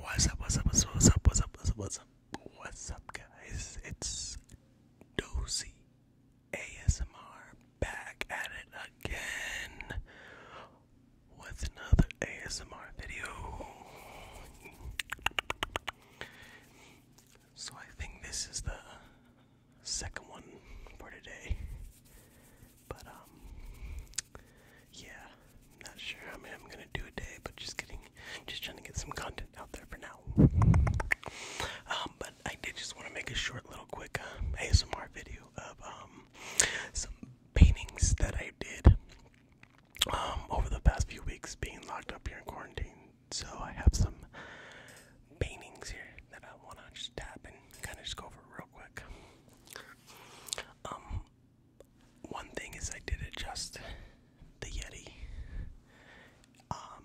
What's up, what's up, what's up, what's up, what's up, what's up, what's up, guys? It's Dozy ASMR back at it again with another ASMR video. So I think this is the second one for today. But um yeah, i not sure how I am gonna do a day, but just getting just trying to get some content out there for now. Um, but I did just want to make a short little quick uh, ASMR video of um some paintings that I did um over the past few weeks being locked up here in quarantine. So I have some paintings here that I want to just tap and kind of just go over real quick. Um, one thing is I did adjust the Yeti um,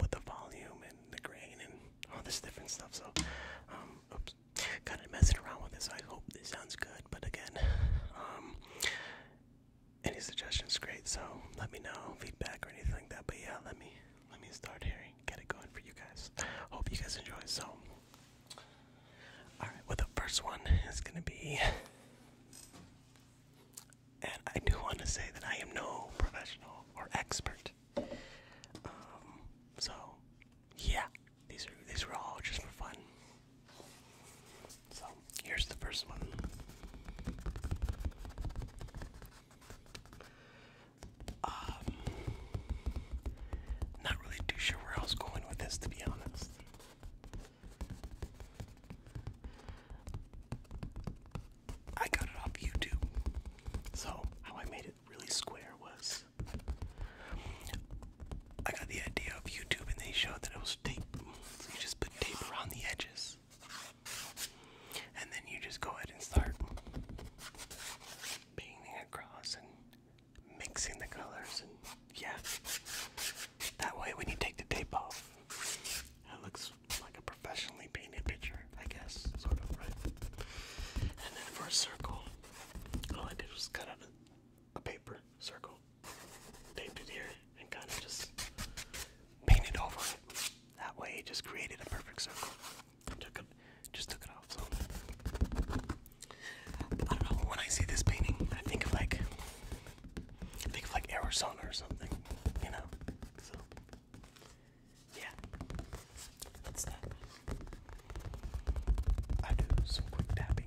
with the volume and the grain and all this different stuff. So, um, kind of messing around with this. I hope this sounds good, but again, um, any suggestions great so let me know feedback or anything like that but yeah let me let me start hearing get it going for you guys hope you guys enjoy so all right well the first one is gonna be and i do want to say that i am no professional or expert um, so yeah these are these were all just for fun so here's the first one. Um, not really too sure where I was going with this, to be honest. I got it off YouTube. So, how I made it really square was I got the idea of YouTube and they showed that it was tape. So, you just put tape around the edges and then you just go ahead and start painting across and mixing the colors and yeah. That way when you take the tape off, it looks like a professionally painted picture, I guess, sort of, right? And then for a circle, all I did was cut out a paper circle taped it here and kind of just painted over it. That way, it just created a perfect circle. Took it, just took it off. So I don't know. When I see this painting, I think of like think of like Arizona or something, you know. So yeah, that's that. I do some quick tapping.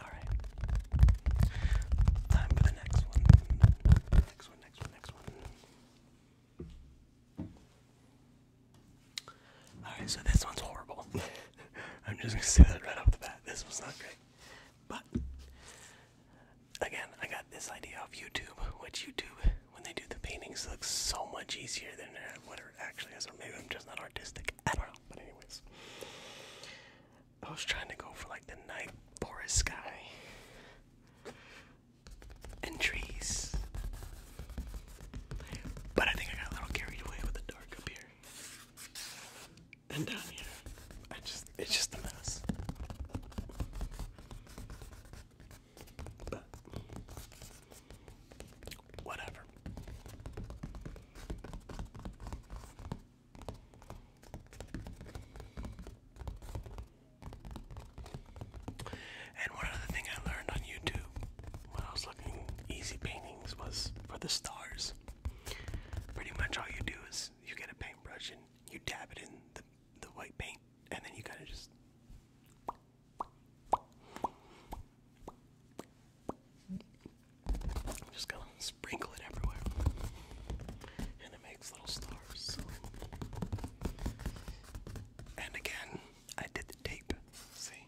Alright. Time for the next one. Next one, next one, next one. Alright, so this one's horrible. I'm just gonna say that right off the bat. This was not great. But again, I got this idea off YouTube, which YouTube, when they do the paintings, looks so much easier than what it actually is. maybe I'm just not artistic. I don't know. But anyways, I was trying to go for like the night forest guy, and trees, but I think I got a little carried away with the dark up here and down here. I just it's just a mess. But whatever. And one other thing I learned on YouTube when I was looking easy paintings was for the stars. Pretty much all you do is you get a paintbrush and you dab it in the, the white paint, and then you kind of just just gotta sprinkle it everywhere. And it makes little stars. And again, I did the tape. See?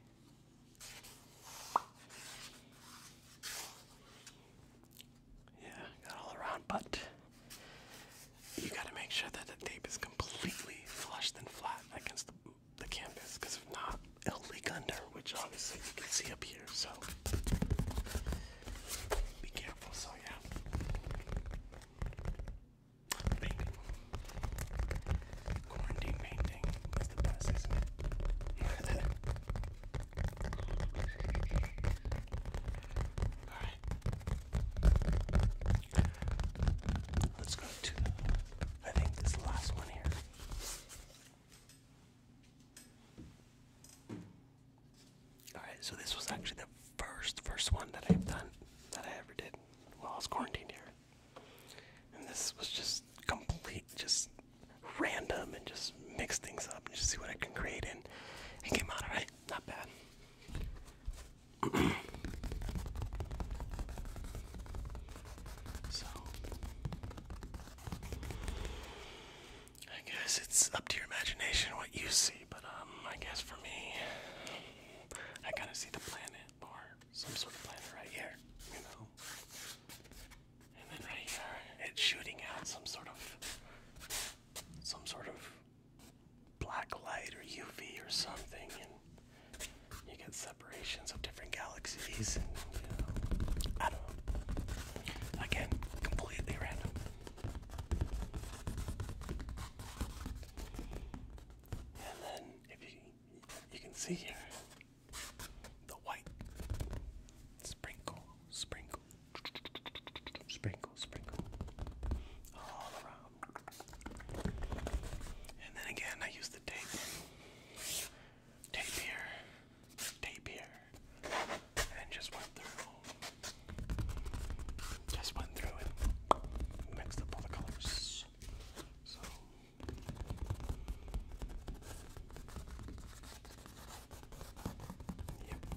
Yeah, got all around, but you gotta make sure that the tape is completely flushed and flat against the the campus, because if not, it'll leak under, which obviously you can see up here, so be careful, so yeah. Painting. Quarantine painting is the best, is Alright. Let's go to, I think, this last one here. Alright, so this was actually the first first one that I've done that I ever did while I was quarantined here. And this was just complete just random and just mix things up and just see what I can create and it came out alright, not bad. So I guess it's up to your imagination what you see, but um, I guess for me, I kind of see the planet or some sort of planet right here, you know. And then right here, it's shooting out some sort of, some sort of black light or UV or something, you get separations of different galaxies and you I don't know. Again, completely random. And then if you you can see here the white sprinkle, sprinkle, sprinkle, sprinkle all around. And then again, I use the tape tape here, tape here, and just went through, just went through and mixed up all the colors. So. Yep.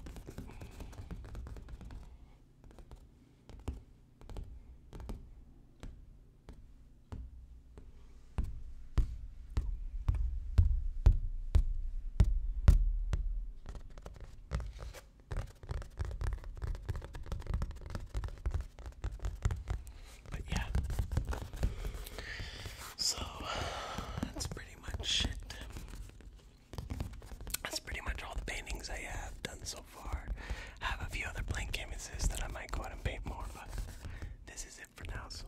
But yeah, so that's pretty much it. That's pretty much all the paintings I have done so so far. Have a few other blank canvases that I might go out and paint more, but this is it for now. So,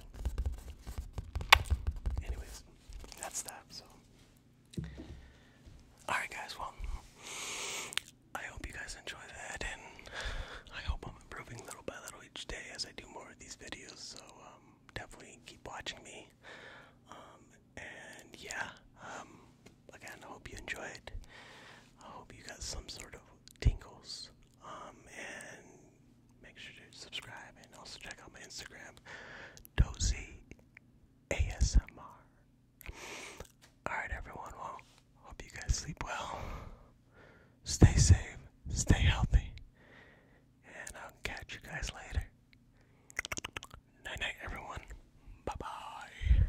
anyways, that's that. So, alright, guys. Well, I hope you guys enjoy that, and I hope I'm improving little by little each day as I do more of these videos. So, um, definitely keep watching me. Um, and yeah, um, again, I hope you enjoyed. I hope you got some sort of tingles. Um, and make sure to subscribe and also check out my Instagram, Dozy ASMR. Alright, everyone. Well, hope you guys sleep well. Stay safe, stay healthy, and I'll catch you guys later. Night night, everyone. Bye bye.